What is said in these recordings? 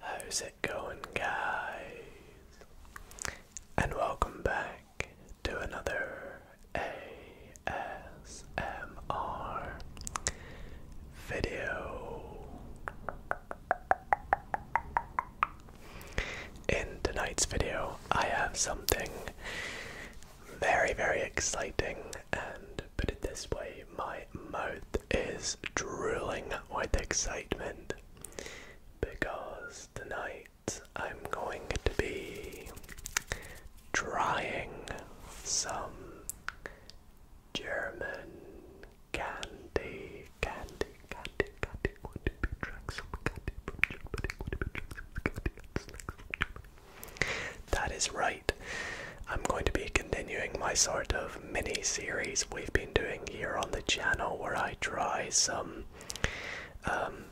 How's it going, guys? And welcome back to another ASMR video. In tonight's video, I have something very, very exciting. And put it this way, my mouth is drooling with excitement because tonight I'm going to be trying some German candy. Candy, candy, candy. Would it be trying some candy candy? That is right. I'm going to be continuing my sort of mini series we've been doing here on the channel where I try some um,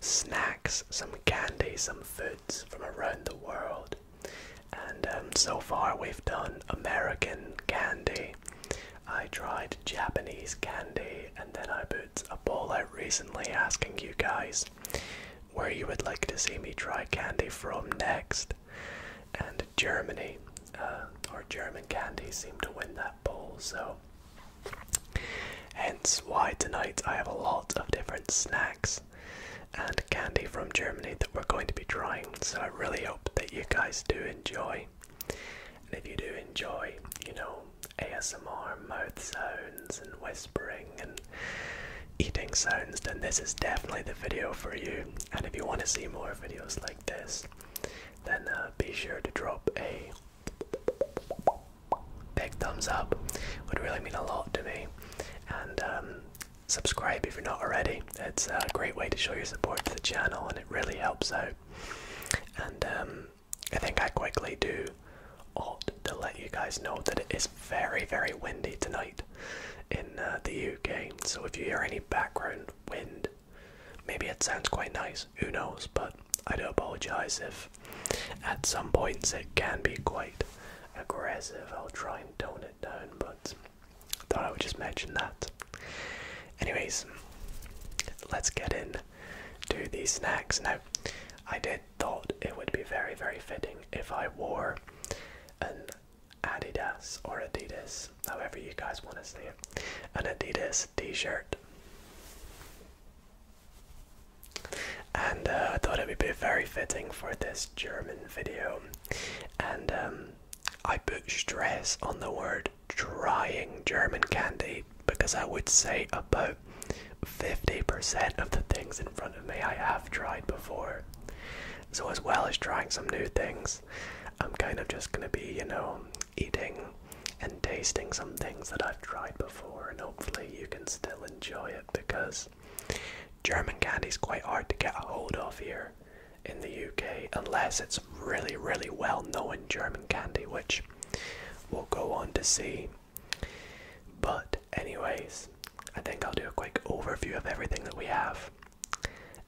snacks, some candy, some foods from around the world. And um, so far, we've done American candy. I tried Japanese candy and then I a poll I recently asking you guys where you would like to see me try candy from next. And Germany, uh, or German candy, seemed to win that poll, so. Hence why tonight I have a lot of different snacks and candy from Germany that we're going to be trying. So I really hope that you guys do enjoy. And if you do enjoy, you know, ASMR mouth sounds and whispering and eating sounds, then this is definitely the video for you. And if you want to see more videos like this, then uh, be sure to drop a big thumbs up. Would really mean a lot to me. And um, subscribe if you're not already. It's a great way to show your support to the channel, and it really helps out. And um, I think I quickly do ought to let you guys know that it is very, very windy tonight in uh, the UK. So if you hear any background wind, maybe it sounds quite nice. Who knows? But I do apologise if at some points it can be quite aggressive. I'll try and tone it down, but thought I would just mention that. Anyways, let's get in to these snacks now. I did thought it would be very, very fitting if I wore an Adidas or Adidas, however you guys want to say it, an Adidas t-shirt. And uh, I thought it would be very fitting for this German video. And um, I put stress on the word trying German candy because I would say about 50% of the things in front of me I have tried before. So, as well as trying some new things, I'm kind of just gonna be, you know, eating and tasting some things that I've tried before, and hopefully, you can still enjoy it because German candy is quite hard to get a hold of here in the UK unless it's really, really well known German candy, which we'll go on to see but, anyways, I think I'll do a quick overview of everything that we have,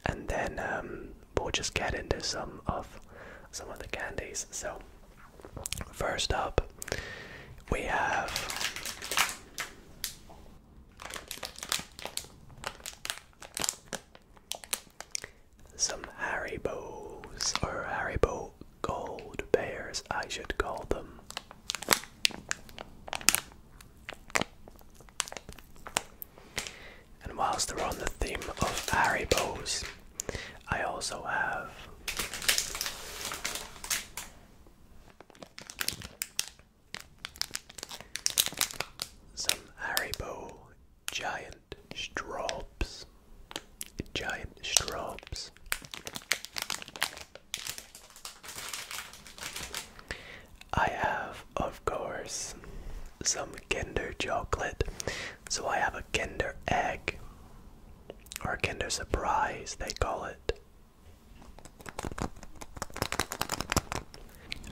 and then um, we'll just get into some of some of the candies. So, first up, we have. Some Harry Bows or Harry Bow Gold bears, I should call them. And whilst they are on the theme of Haribos, I also have some Haribo giant straws giant straws. I have, of course, some Kinder chocolate. So I have a Kinder egg, or Kinder surprise, they call it.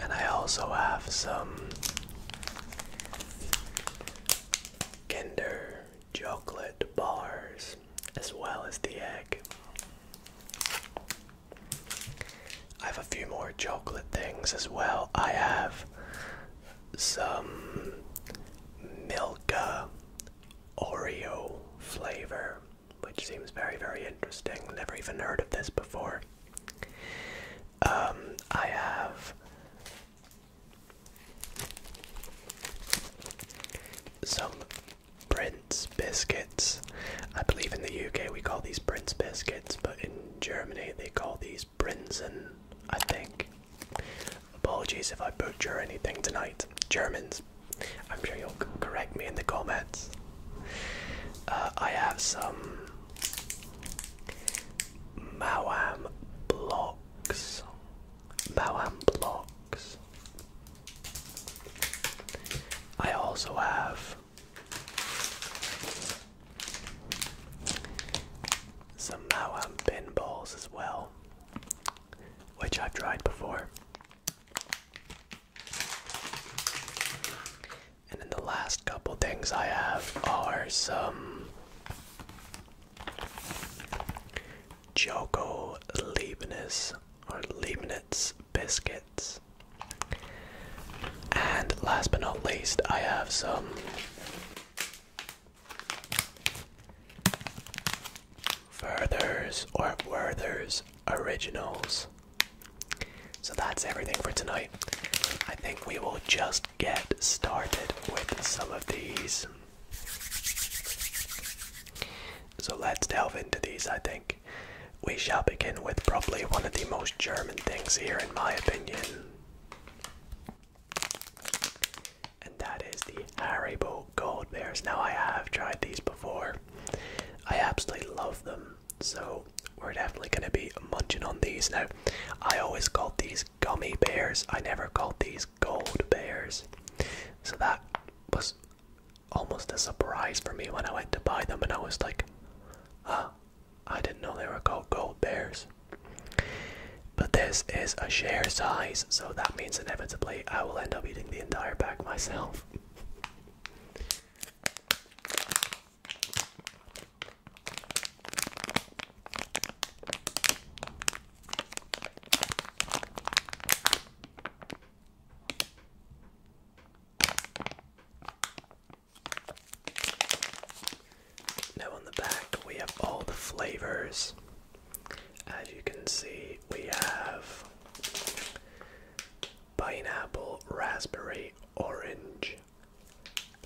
And I also have some Kinder chocolate bars as well as the egg. I have a few more chocolate things as well. I have some Milka Oreo flavor, which seems very, very interesting. Never even heard of this before. Um, I have some Prince biscuits. I believe in the UK we call these Prince biscuits, but in Germany they call these Prinzen, I think. Apologies if I butcher anything tonight. Germans, I'm sure you'll correct me in the comments. Uh, I have some Mawam blocks. Bowham blocks. I also have some Bowham pinballs as well, which I've tried before. And then the last couple things I have are some Joko Leibniz or Leibniz biscuits. And last but not least, I have some Furthers or Werther's originals. So that's everything for tonight. I think we will just get started with some of these. So let's delve into these, I think. We shall begin with probably one of the most German things here, in my opinion. And that is the Haribo Gold Bears. Now, I have tried these before, I absolutely love them. So, we're definitely going to be munching on these. Now, I always called these gummy bears, I never called these gold bears. So that was almost a surprise for me when I went to buy them, and I was like, huh, I didn't know they were called gold bears. But this is a share size, so that means inevitably I will end up eating the entire bag myself. Now, on the back, we have all the flavors. As you can see, we have pineapple, raspberry, orange,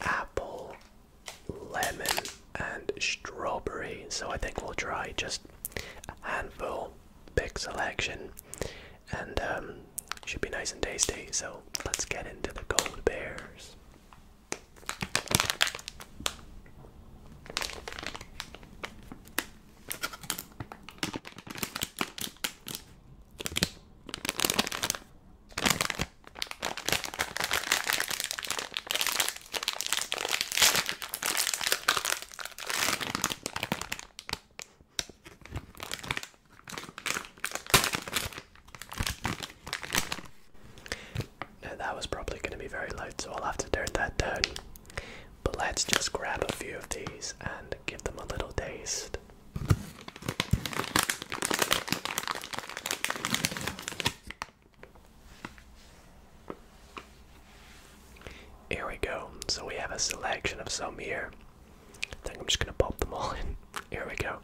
apple, lemon, and strawberry. So I think we'll try just a handful, big selection, and um, should be nice and tasty. So let's get into the gold bears. Now that was probably going to be very loud, so I'll have to turn that down. But let's just grab a few of these and give them a little taste. Here we go. So we have a selection of some here. I think I'm just gonna pop them all in. Here we go.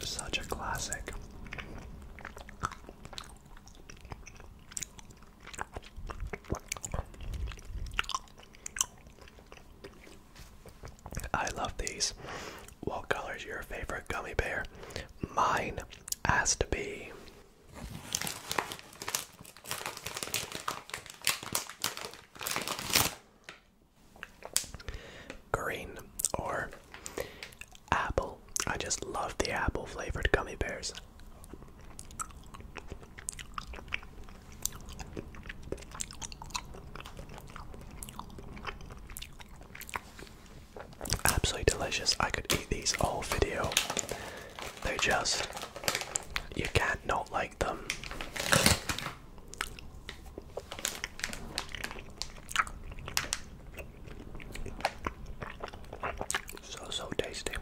Such a classic. I love these. What color is your favorite gummy bear? Mine has to be green or apple. I just love the apple flavored gummy bears. Absolutely delicious. I could eat these all video. They just you can't not like them. So, so tasty.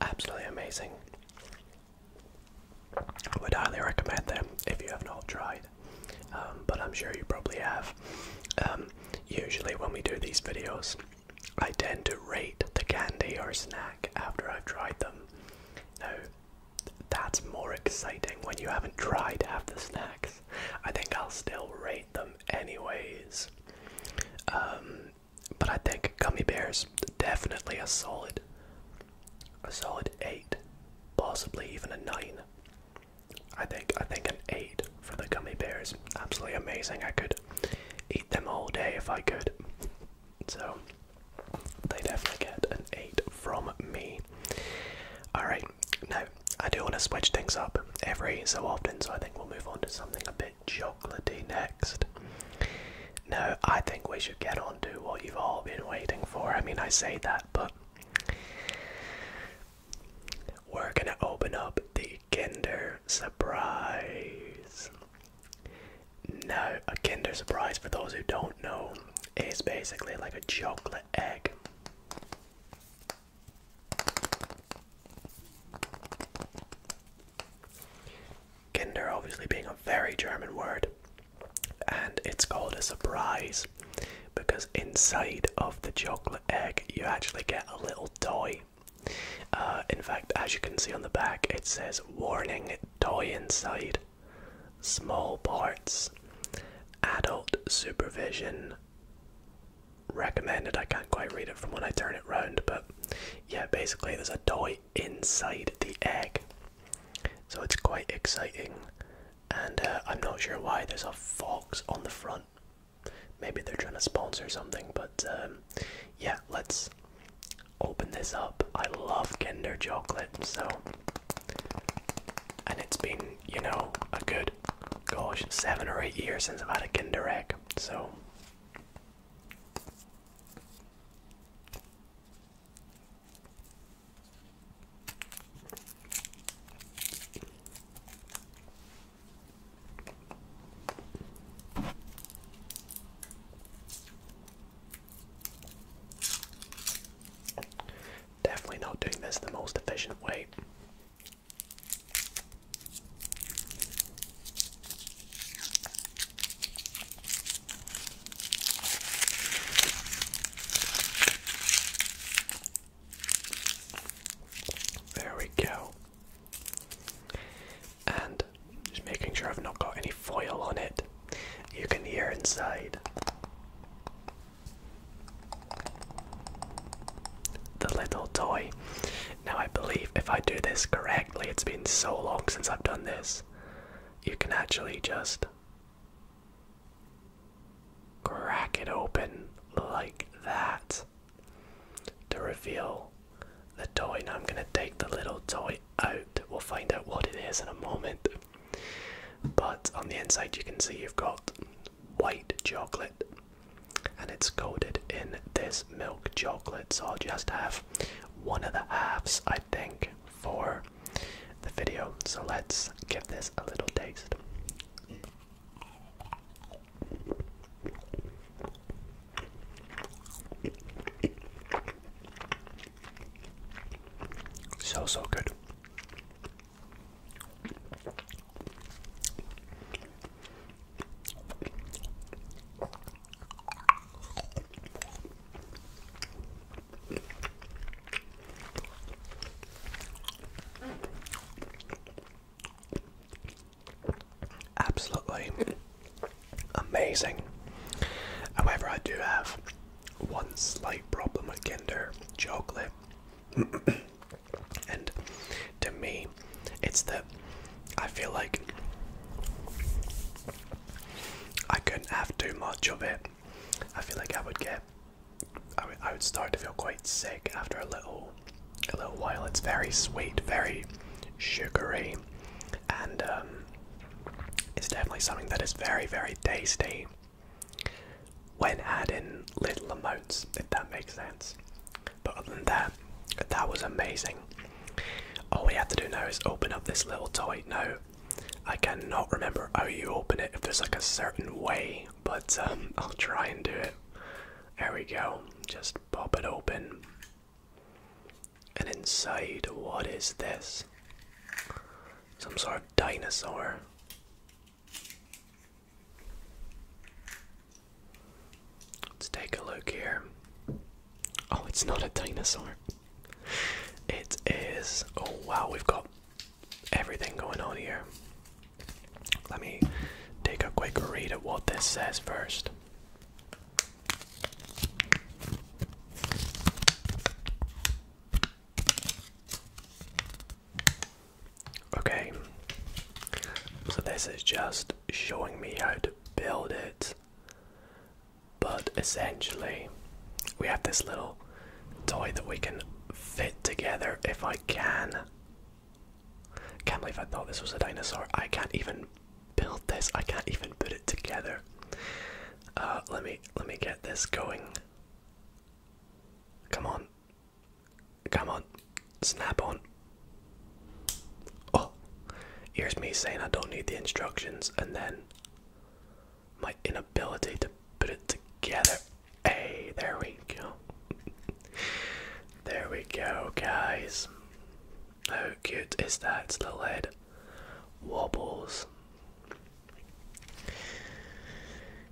Absolutely amazing. I would highly recommend them if you have not tried, um, but I'm sure you probably have. Um, usually, when we do these videos, I tend to rate the candy or snack after I've tried them. Now, that's more exciting when you haven't tried half the snacks. I think I'll still rate them anyways. Um, but I think gummy bears definitely a solid a solid eight, possibly even a nine. I think I think an eight for the gummy bears. Absolutely amazing. I could eat them all day if I could. So they definitely get an eight from me. Alright, now I do want to switch things up every so often, so I think we'll move on to something a bit chocolatey next. No, I think we should get on to what you've all been waiting for. I mean, I say that, but we're gonna open up the Kinder Surprise. Now, a Kinder Surprise, for those who don't know, is basically like a chocolate egg. Kinder obviously being a very German word, and it's called a surprise because inside of the chocolate egg you actually get a little toy. Uh, in fact, as you can see on the back, it says warning toy inside, small parts, adult supervision recommended. I can't quite read it from when I turn it round, but yeah, basically, there's a toy inside the egg. So it's quite exciting, and uh, I'm not sure why there's a fox on the front. Maybe they're trying to sponsor something, but um, yeah, let's open this up. I love Kinder chocolate, so. And it's been, you know, a good, gosh, seven or eight years since I've had a Kinder egg, so. Definitely not doing this the most efficient way. There we go. And just making sure I've not got any foil on it. You can hear inside. The little toy. Now, I believe if I do this correctly, it's been so long since I've done this you can actually just crack it open like that to reveal the toy. Now I'm going to take the little toy out. We'll find out what it is in a moment. But on the inside, you can see you've got white chocolate and it's coated in this milk chocolate. So I'll just have one of the halves, I think for the video. So let's give this a little taste. So, so good. Absolutely amazing. However, I do have one slight problem with Kinder chocolate, and to me, it's that I feel like I couldn't have too much of it. I feel like I would get, I would, start to feel quite sick after a little, a little while. It's very sweet, very sugary, and um, it's definitely something that is very, very tasty when adding little amounts, if that makes sense. But other than that, that was amazing. All we have to do now is open up this little toy. note. I cannot remember how you open it if there's like a certain way, but um, I'll try and do it. There we go. Just pop it open. And inside, what is this? Some sort of dinosaur. Let's take a look here. Oh, it's not a dinosaur. It is. Oh, wow, we've got everything going on here. Let me take a quick read of what this says first. Okay, so this is just showing me how to build it but essentially, we have this little toy that we can fit together if I can. Can't believe I thought this was a dinosaur. I can't even build this. I can't even put it together. Uh, let me let me get this going. Come on. Come on. Snap on. Oh. Here's me saying I don't need the instructions and then my inability to put it together. Hey, there we go. there we go, guys. How cute is that? Its little head wobbles.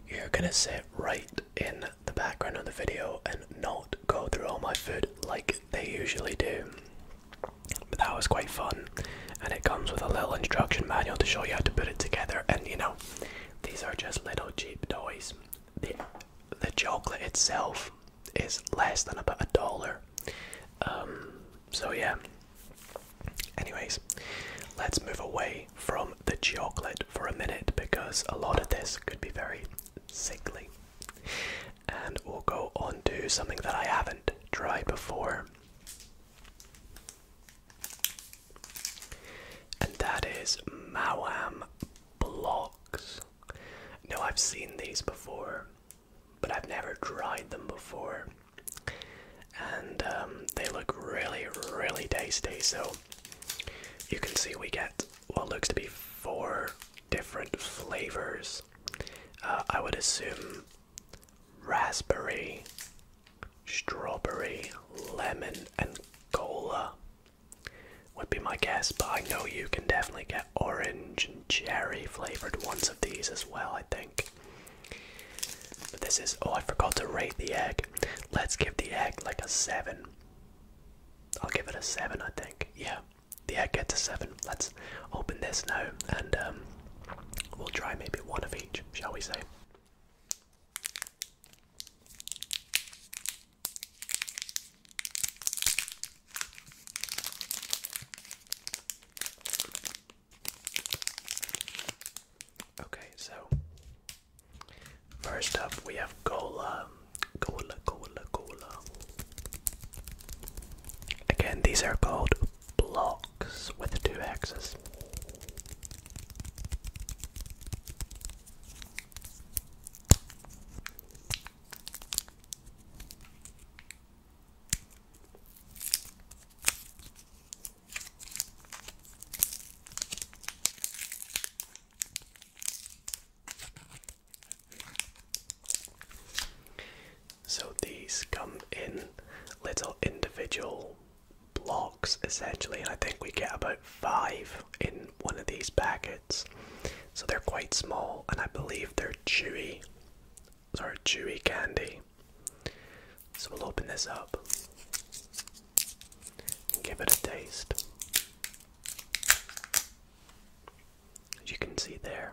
You're gonna sit right in the background of the video and not go through all my food like they usually do. But that was quite fun, and it comes with a little instruction manual to show you how to put it together. And you know, these are just little cheap toys. The, chocolate itself is less than about a dollar. Um, so, yeah. Anyways, let's move away from the chocolate for a minute because a lot of this could be very sickly. And we'll go on to something that I haven't tried before. And that is Mawam Blocks. Now, I've seen these before, but I've never tried them before. And um, they look really, really tasty. So you can see we get what looks to be four different flavors. Uh, I would assume raspberry, strawberry, lemon, and cola would be my guess, but I know you can definitely get orange and cherry flavored ones of these as well, I think. But this is oh I forgot to rate the egg. Let's give the egg like a seven. I'll give it a seven I think. Yeah. The egg gets a seven. Let's open this now and um, we'll try maybe one of each, shall we say? Okay, so first up we have cola, cola, cola, cola. Again, these are called blocks with two axes. So these come in little individual blocks essentially, and I think we get about five in one of these packets. So they're quite small, and I believe they're chewy, sorry, chewy candy. So we'll open this up and give it a taste. As you can see there,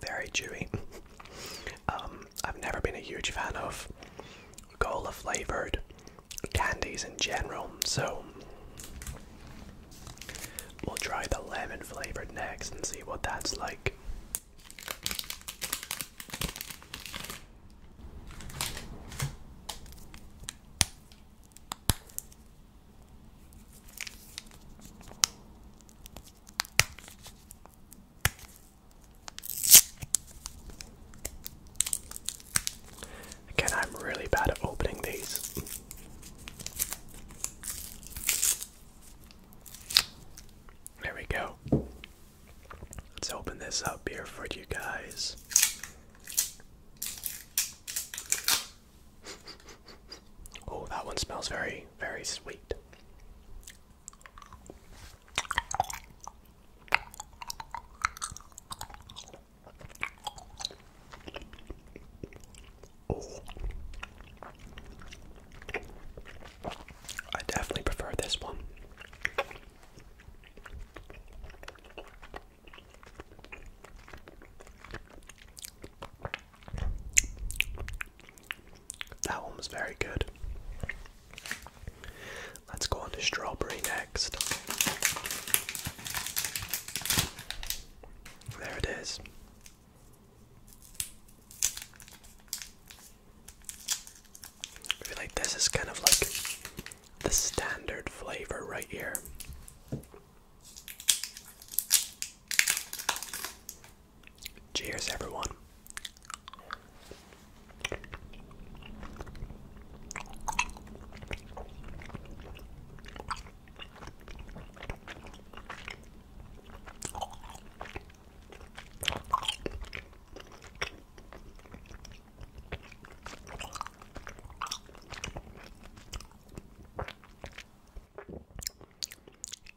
Very chewy. Um, I've never been a huge fan of cola flavored candies in general, so we'll try the lemon flavored next and see what that's like. Again, I'm really bad at opening these. There we go. Let's open this up here for you guys. Oh, that one smells very, very sweet. Oh. I definitely prefer this one. That one was very good. Let's go on to strawberry next. There it is. I feel like this is kind of like the standard flavor right here. Cheers, everyone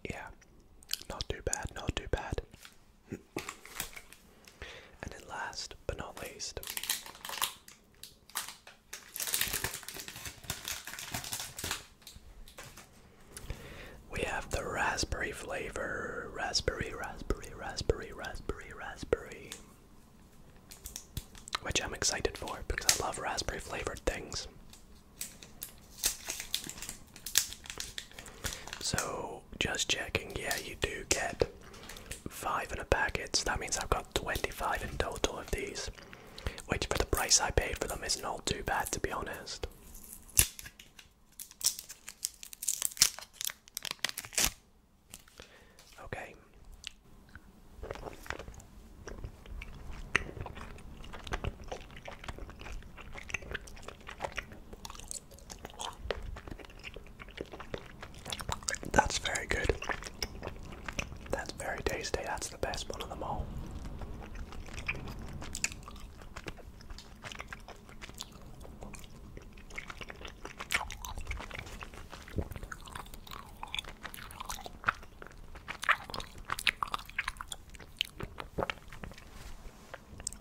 yeah, not too bad, not too bad. and then last but not least, we have the raspberry flavor. Raspberry, raspberry, raspberry, raspberry, raspberry. Which I'm excited for because I love raspberry flavored things. So, just checking, yeah, you do get five in a packet, so that means I've got 25 in total of these, which for the price I paid for them is not too bad to be honest. Okay. That's very good. That's very tasty. That's the best one of them all.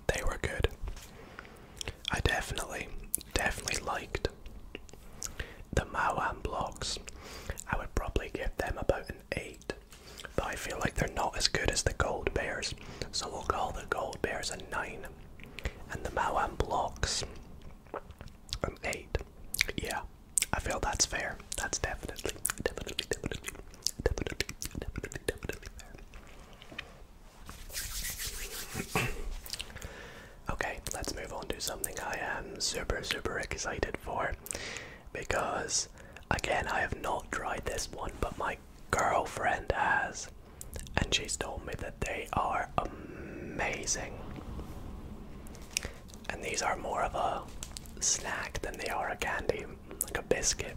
They were good. I definitely, definitely liked the Mauan blocks. I would probably give them about an 8, but I feel like they're not as good as the Gold Bears, so we'll call the Gold Bears a 9, and the Mauan blocks an 8. Yeah, I feel that's fair. That's definitely, definitely, definitely. okay, let's move on to something I am super, super excited for because, again, I have not tried this one, but my girlfriend has, and she's told me that they are amazing. And these are more of a snack than they are a candy like a biscuit.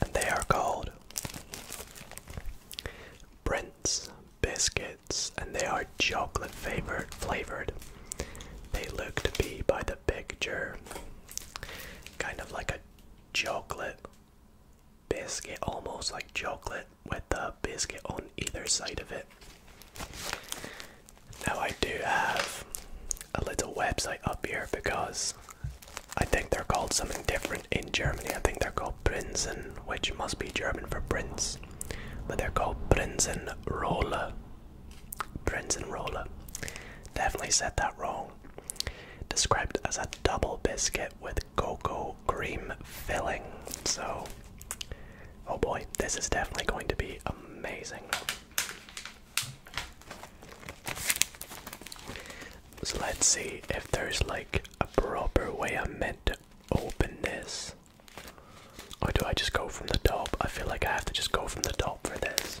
And they are called Brent's biscuits, and they are chocolate flavored. Flavored. They look to be by the picture, kind of like a chocolate biscuit, almost like chocolate, with the biscuit on either side of it. Now, I do have a little website up here because I think they're called something different in Germany. I think they're called Prinzen, which must be German for prince, but they're called Prinzenrolle. Prinzenrolle. Definitely said that wrong. Described as a double biscuit with cocoa cream filling. So, oh boy, this is definitely going to be amazing. So, let's see if there's like a proper way I'm meant to open this. Or do I just go from the top? I feel like I have to just go from the top for this.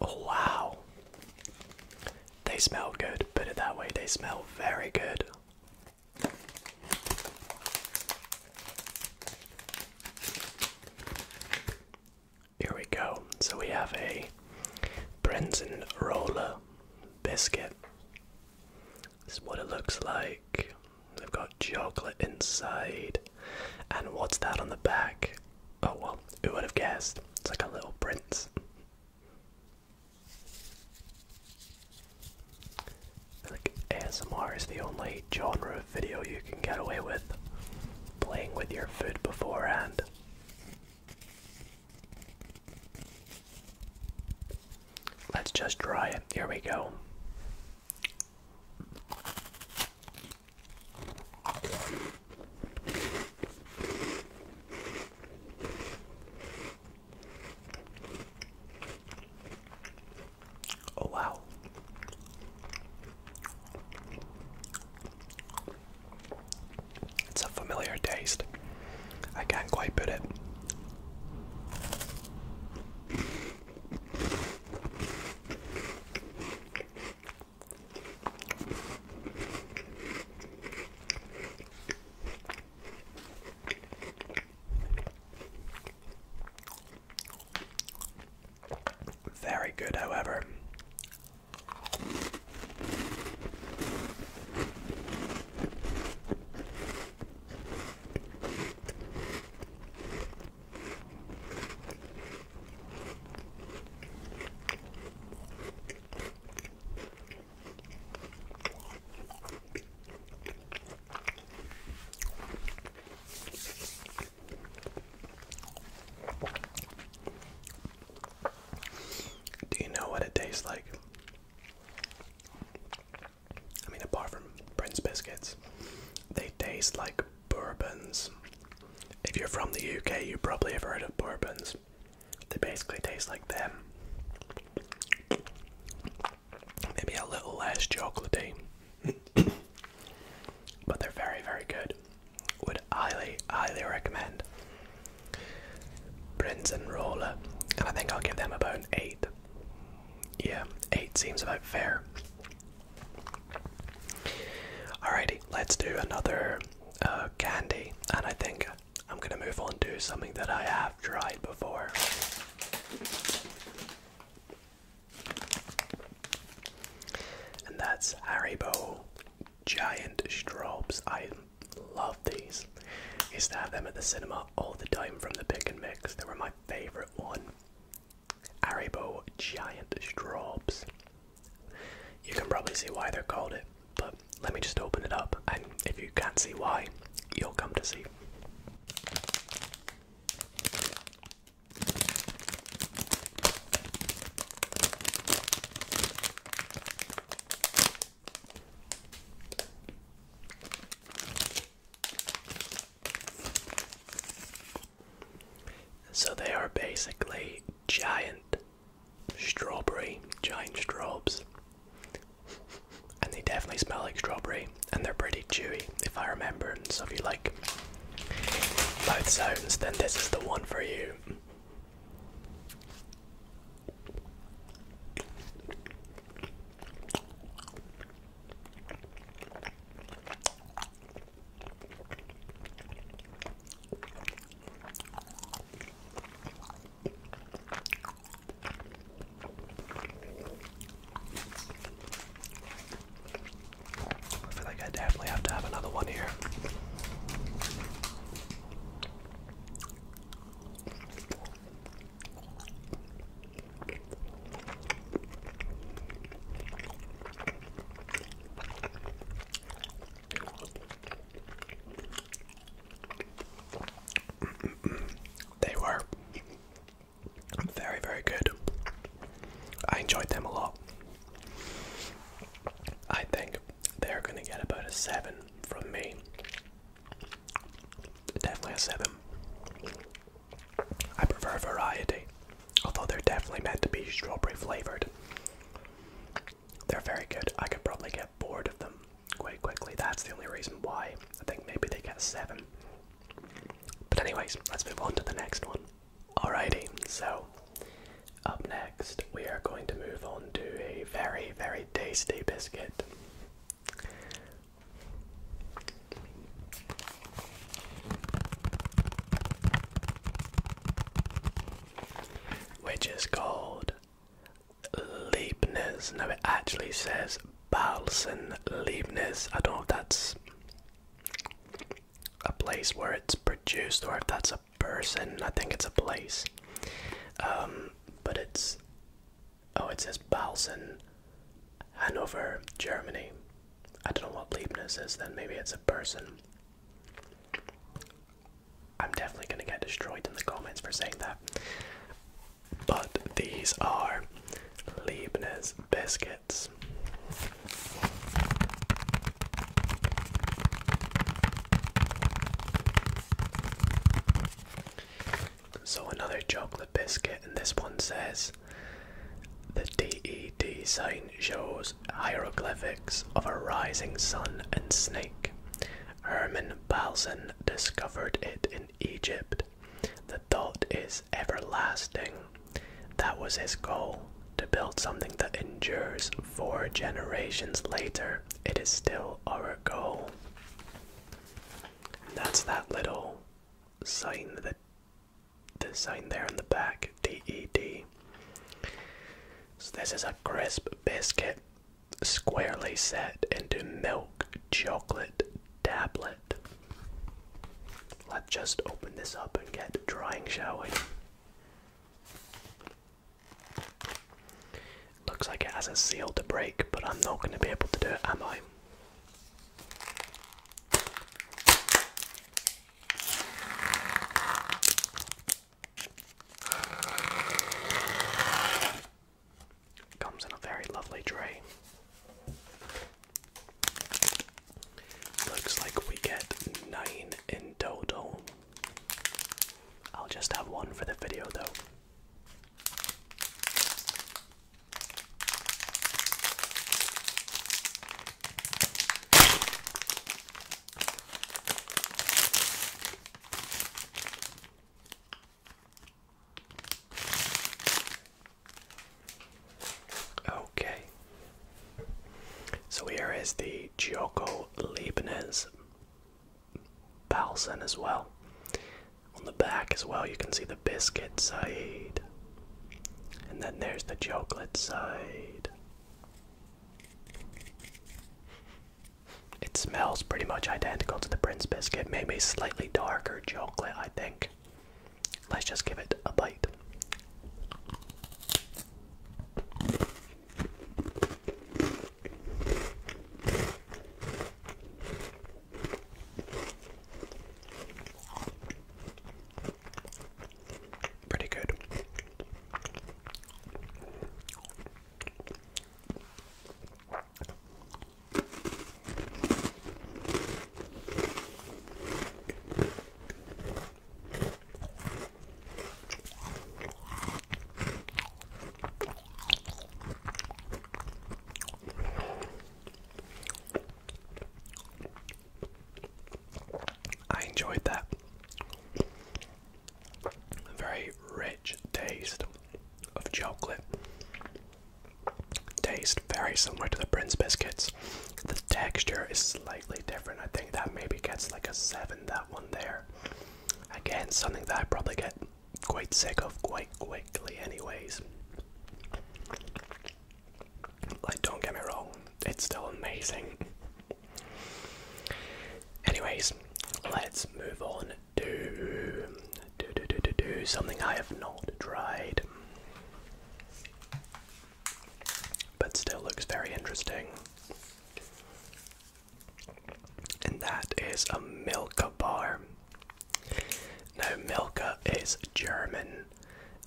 Oh, wow. They smell good, put it that way, they smell very good. Here we go. So we have a Brenton roller biscuit. This is what it looks like. They've got chocolate inside. And what's that on the back? Oh well, who would have guessed? It's like a little prince. Like ASMR is the only genre of video you can get away with. Playing with your food beforehand. Let's just try it. Here we go. Oh, wow. It's a familiar taste. I can't quite put it. Very good, however. Do you know what it tastes like? I mean, apart from Prince biscuits, they taste like bourbons. If you're from the UK, you probably have heard of bourbons. They basically taste like them. Maybe a little less chocolaty, but they're very, very good. Would highly, highly recommend. Prince and Roller. And I think I'll give them about an 8. Yeah, 8 seems about fair. Alrighty, let's do another uh, candy, and I think I'm gonna move on to something that I have tried before. And that's Haribo Giant Straws. I love these. Used to have them at the cinema all the time from the pick and mix. They were my favorite one. Haribo Giant Straws. You can probably see why they're called it, but let me just open it up, and if you can't see why, you'll come to see. So they are basically giant strawberry, giant straws. And they definitely smell like strawberry and they're pretty chewy if I remember. and So if you like both sounds, then this is the one for you. I feel like I definitely have to have another one here. They were very, very good. I enjoyed them a lot. I think they're gonna get about a 7 from me. Definitely a 7. I prefer variety. Although they're definitely meant to be strawberry flavored. They're very good. I could probably get bored of them quite quickly. That's the only reason why. I think maybe they get seven. But anyways, let's move on to the next one. Alrighty, so up next we are going to move on to a very, very tasty biscuit which is called Leibniz. No, it actually says Balsen Leibniz. I don't know if that's a place where it's produced or if that's a person. I think it's a place. Um, but it's oh, it says Balsen, Hanover, Germany. I don't know what Leibniz is. Then maybe it's a person. I'm definitely going to get destroyed in the comments for saying that. But these are Leibniz biscuits. So, another chocolate biscuit, and this one says the DED sign shows hieroglyphics of a rising sun and snake. Herman Balzan discovered it in Egypt. The thought is everlasting. That was his goal to build something that endures four generations later. It is still our goal. that's that little sign that the sign there in the back, D E D. So this is a crisp biscuit squarely set into milk chocolate tablet. Let's just open this up and get drying, shall we? Looks like it has a seal to break, but I'm not going to be able to do it, am I? Comes in a very lovely tray. Looks like we get nine in total. I'll just have one for the video though. Okay. So here is the Gioco Leibniz Balsen as well. On the back as well you can see the biscuit side. And then there's the chocolate side. It smells pretty much identical to the Prince biscuit, maybe slightly darker chocolate, I think. Let's just give it a bite. Pretty good. I enjoyed that very rich taste of chocolate. Taste very similar to the Prince biscuits. The texture is slightly different. I think that maybe gets like a 7, that one there. Again, something that I probably get quite sick of quite quickly, anyways. Like, don't get me wrong, it's still amazing. Anyways, let's move on to do, do, do, do, do, something I have not tried, but still looks very interesting. And that is a Milka bar. Now, Milka is German.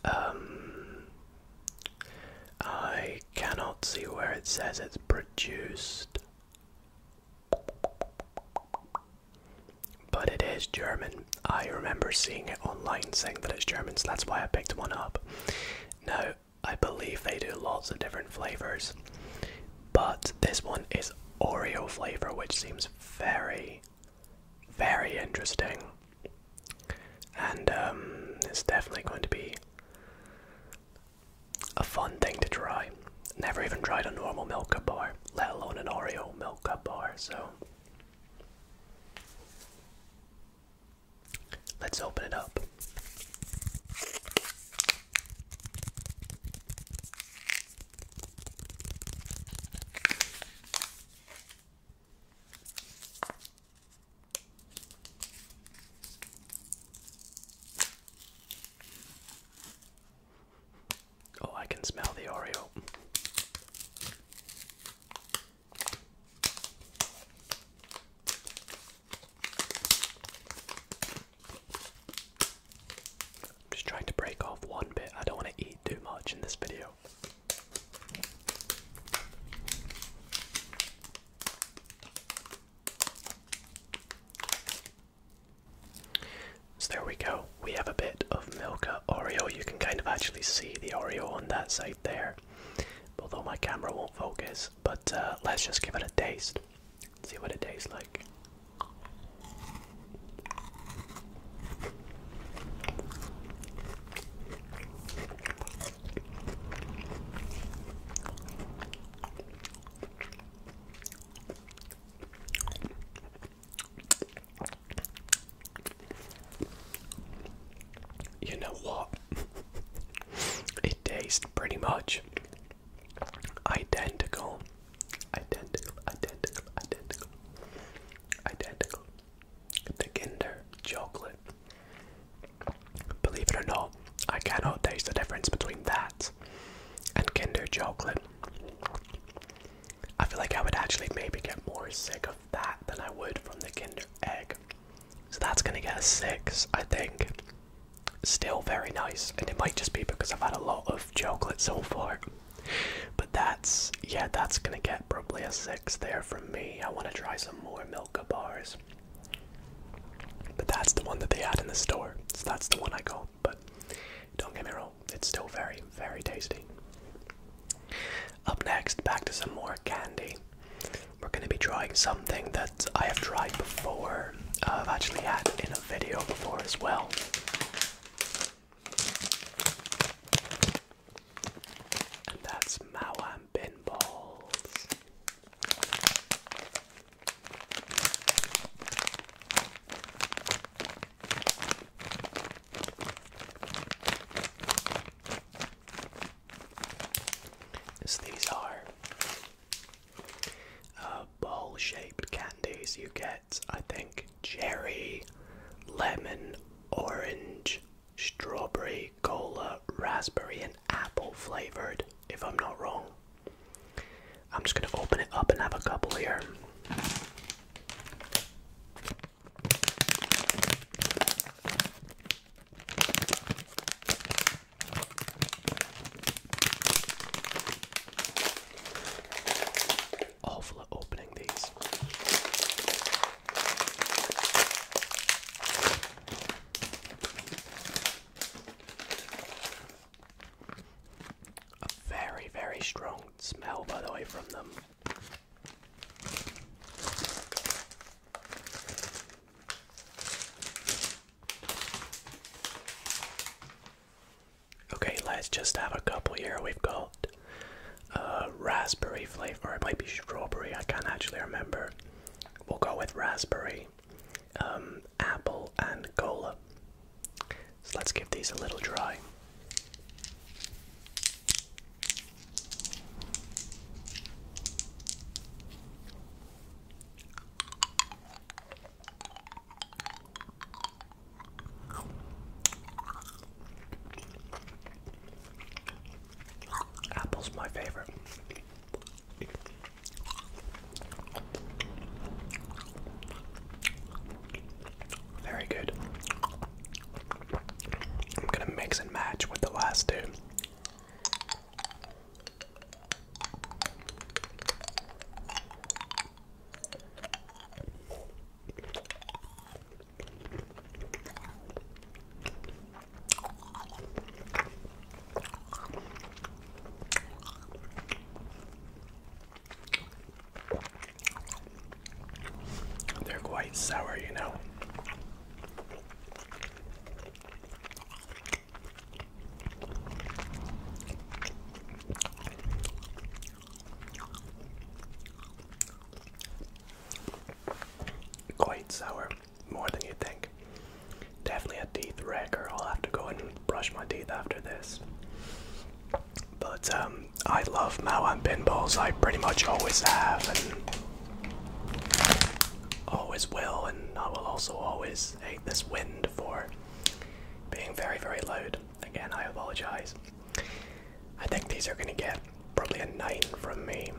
Um, I cannot see where it says it's produced. But it is German. I remember seeing it online saying that it's German, so that's why I picked one up. No, I believe they do lots of different flavors, but this one is Oreo flavor, which seems very, very interesting. And um, it's definitely going to be a fun thing to try. Never even tried a normal Milka bar, let alone an Oreo Milka bar, so. Let's open it up. Oh, I can smell the Oreo. I'm just trying to break off one bit. I don't want to eat too much in this video. So there we go. We have a bit of Milka Oreo. You can kind of actually see the Oreo on that side there, although my camera won't focus. But uh, let's just give it a taste. See what it tastes like. You know what? it tastes pretty much identical. Identical, identical, identical. Identical. The Kinder chocolate Believe it or not, I cannot taste the difference between that and Kinder chocolate. I feel like I would actually maybe get more sick of that than I would from the Kinder egg. So that's gonna get a six, I think. Still very nice, and it might just be because I've had a lot of chocolate so far. But that's, yeah, that's gonna get probably a six there from me. I wanna try some more milk bars. But that's the one that they had in the store. So that's the one I got. But don't get me wrong, it's still very, very tasty. Up next, back to some more candy. We're going to be trying something that I have tried before. Uh, I've actually had in a video before as well. And that's Mawan pinballs. So these are uh, ball shaped candies. You get, I think, cherry, lemon, orange, strawberry, cola, raspberry, and apple flavored, if I'm not wrong. I'm just going to open it up and have a couple here. Awful at opening these. A very, very strong smell, by the way, from them. Okay, let's just have a couple here. We've got a uh, raspberry flavor, or it might be strawberry, I can't actually remember. We'll go with raspberry, um, apple, and cola. So let's give these a little try. Apple's my favorite. Very good. I'm going to mix and match with the last two. They're quite sour, you know. Quite sour more than you think. Definitely a teeth wrecker. I'll have to go and brush my teeth after this. But um, I love Mao and pinballs. I pretty much always have and always will. And I will also always hate this wind for being very, very loud. Again, I apologize. I think these are going to get probably a 9 from me.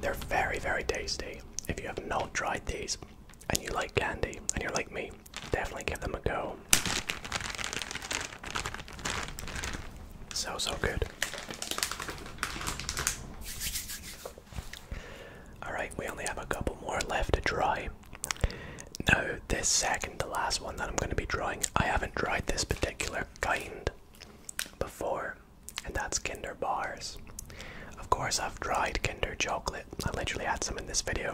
They're very, very tasty if you have not tried these and you like candy and you're like me, definitely give them a go. So, so good. Alright, we only have a couple more left to try. Now, this second to last one that I'm going to be drawing, I haven't tried this particular kind before and that's Kinder Bars. Of course, I've tried Kinder Chocolate, I literally had some in this video,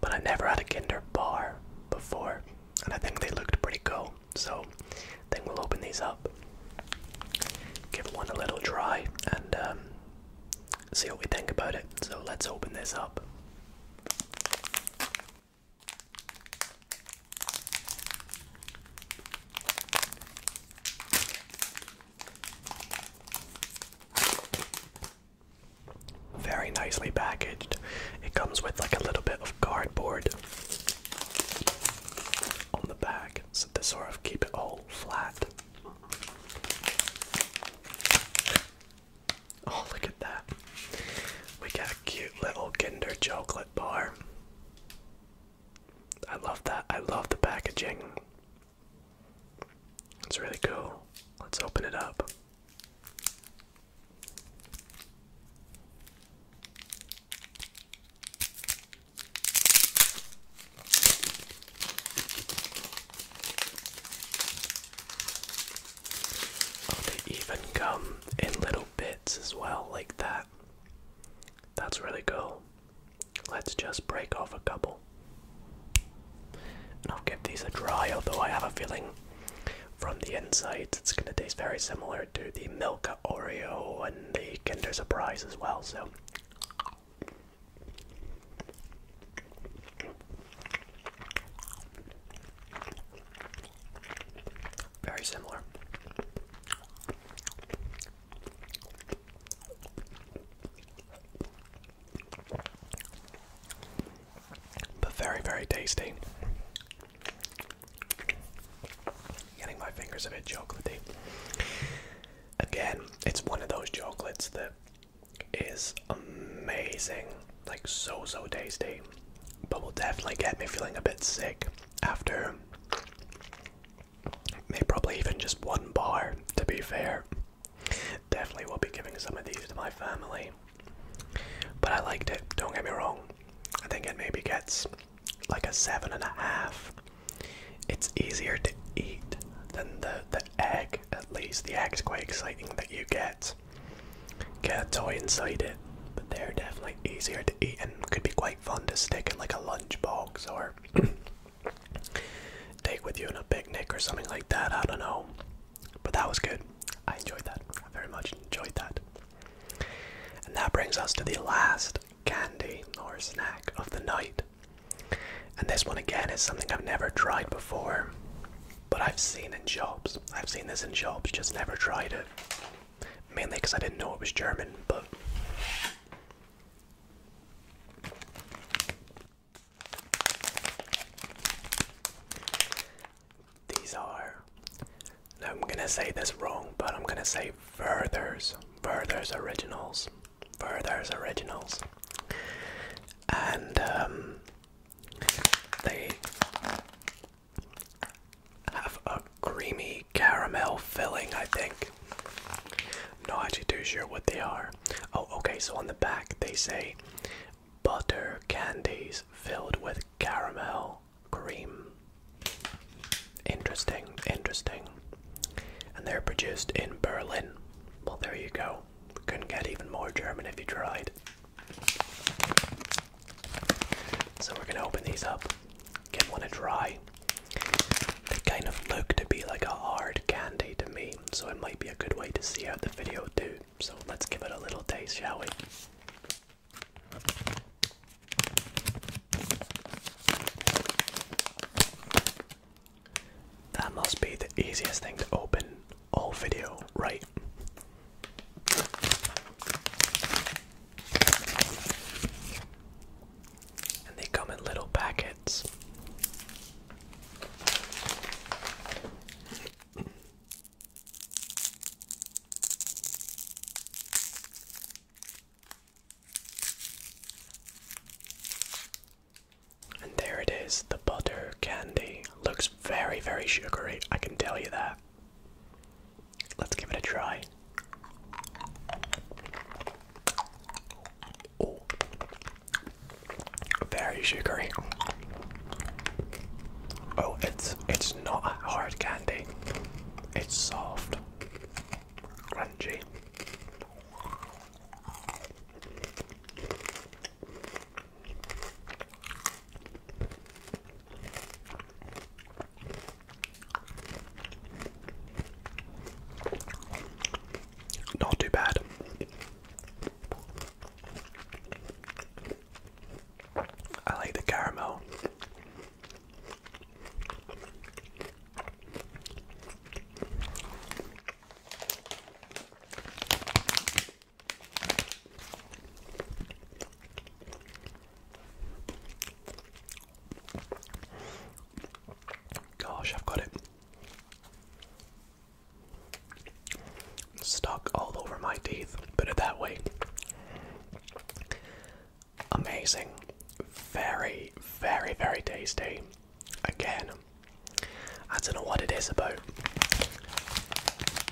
but I never had a Kinder Bar before, and I think they looked pretty cool, so I think we'll open these up, give one a little try, and um, see what we think about it. So let's open this up. Very nicely packaged. It comes with like a little bit of cardboard on the back so to sort of keep it all flat. Oh, look at that. We got a cute little Kinder chocolate bar. I love that. I love the packaging. It's really cool. Let's open it up. Oh, they even come in little bits as well, like that. That's really cool. Let's just break off a couple. And I'll give these a try, although I have a feeling from the insides it's going to taste very similar to the Milka Oreo and the Kinder Surprise as well, so. Very similar. But very, very tasty. Getting my fingers a bit chocolatey. Again, it's one of those chocolates that is amazing, like so, so tasty, but will definitely get me feeling a bit sick after Maybe probably even just one bar, to be fair. Definitely will be giving some of these to my family. But I liked it, don't get me wrong. I think it maybe gets like a seven and a half. It's easier to eat than the, the egg, at least. The egg's quite exciting that you get. Get a toy inside it, but they're definitely easier to eat and could be quite fun to stick in like a lunchbox or take with you in a picnic or something like that. I don't know. But that was good. I enjoyed that. I very much enjoyed that. And that brings us to the last candy or snack of the night. And this one again is something I've never tried before, but I've seen in shops. I've seen this in shops, just never tried it. Mainly because I didn't know it was German, but these are, I'm gonna say this wrong, but I'm gonna say Werther's, Werther's Originals, Werther's Originals. And um, they have a creamy caramel filling, I think. I'm not actually too sure what they are. Oh, okay, so on the back they say butter candies filled with caramel cream. Interesting, interesting. And they're produced in Berlin. Well, there you go. Couldn't get even more German if you tried. So we're gonna open these up give one a try. They kind of look to be like a hard candy to me, so it might be a good way to see how the video do. So let's give it a little taste, shall we? That must be the easiest thing to open all video, right? and they come in little packets. And there it is, the butter candy. Looks very, very sugary, I can tell you that. Let's give it a try. Oh, very sugary. Oh, it's it's not a hard candy. It's soft, crunchy. Not too bad. I like the caramel. Gosh, I've got it stuck all over my teeth. Put it that way. Amazing. Very, very, very tasty. Again, I don't know what it is about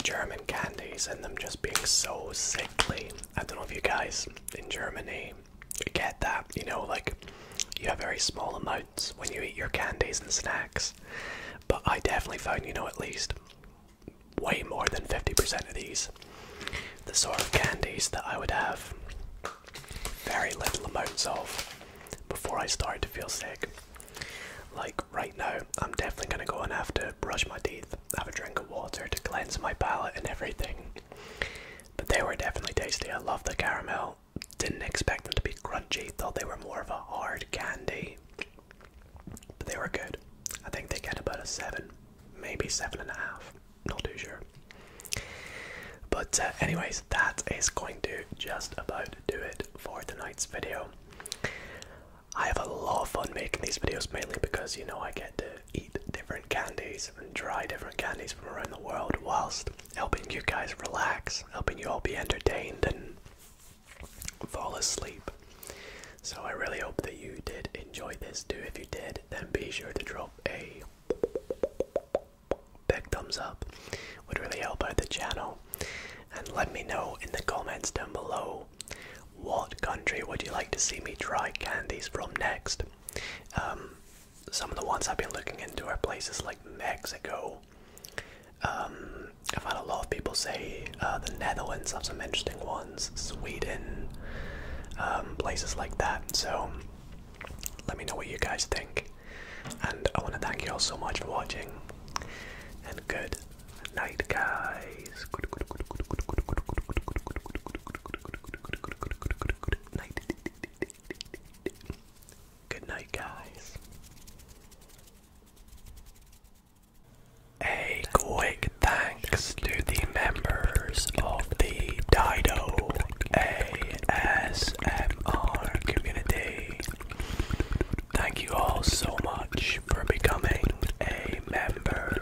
German candies and them just being so sickly. I don't know if you guys in Germany get that, you know, like you have very small amounts when you eat your candies and snacks. But I definitely found, you know, at least way more than 50% of these, the sort of candies that I would have very little amounts of before I started to feel sick. Like right now, I'm definitely gonna go and have to brush my teeth, have a drink of water to cleanse my palate and everything. But they were definitely tasty. I love the caramel. Didn't expect them to be crunchy, thought they were more of a hard candy. But they were good. I think they get about a seven, maybe seven and a half. Not too sure. But, uh, anyways, that is going to just about do it for tonight's video. I have a lot of fun making these videos mainly because you know I get to eat different candies and try different candies from around the world whilst helping you guys relax, helping you all be entertained and fall asleep. So I really hope that you did enjoy this too. If you did, then be sure to drop a big thumbs up. Would really help out the channel. And let me know in the comments down below what country would you like to see me try candies from next. Um, some of the ones I've been looking into are places like Mexico. Um, I've had a lot of people say uh, the Netherlands are some interesting ones, Sweden, um, places like that. So let me know what you guys think. And I want to thank you all so much for watching. And good night, guys. Good night, guys. A quick thanks to the members of the Dido ASMR community. Thank you all so much for becoming a member,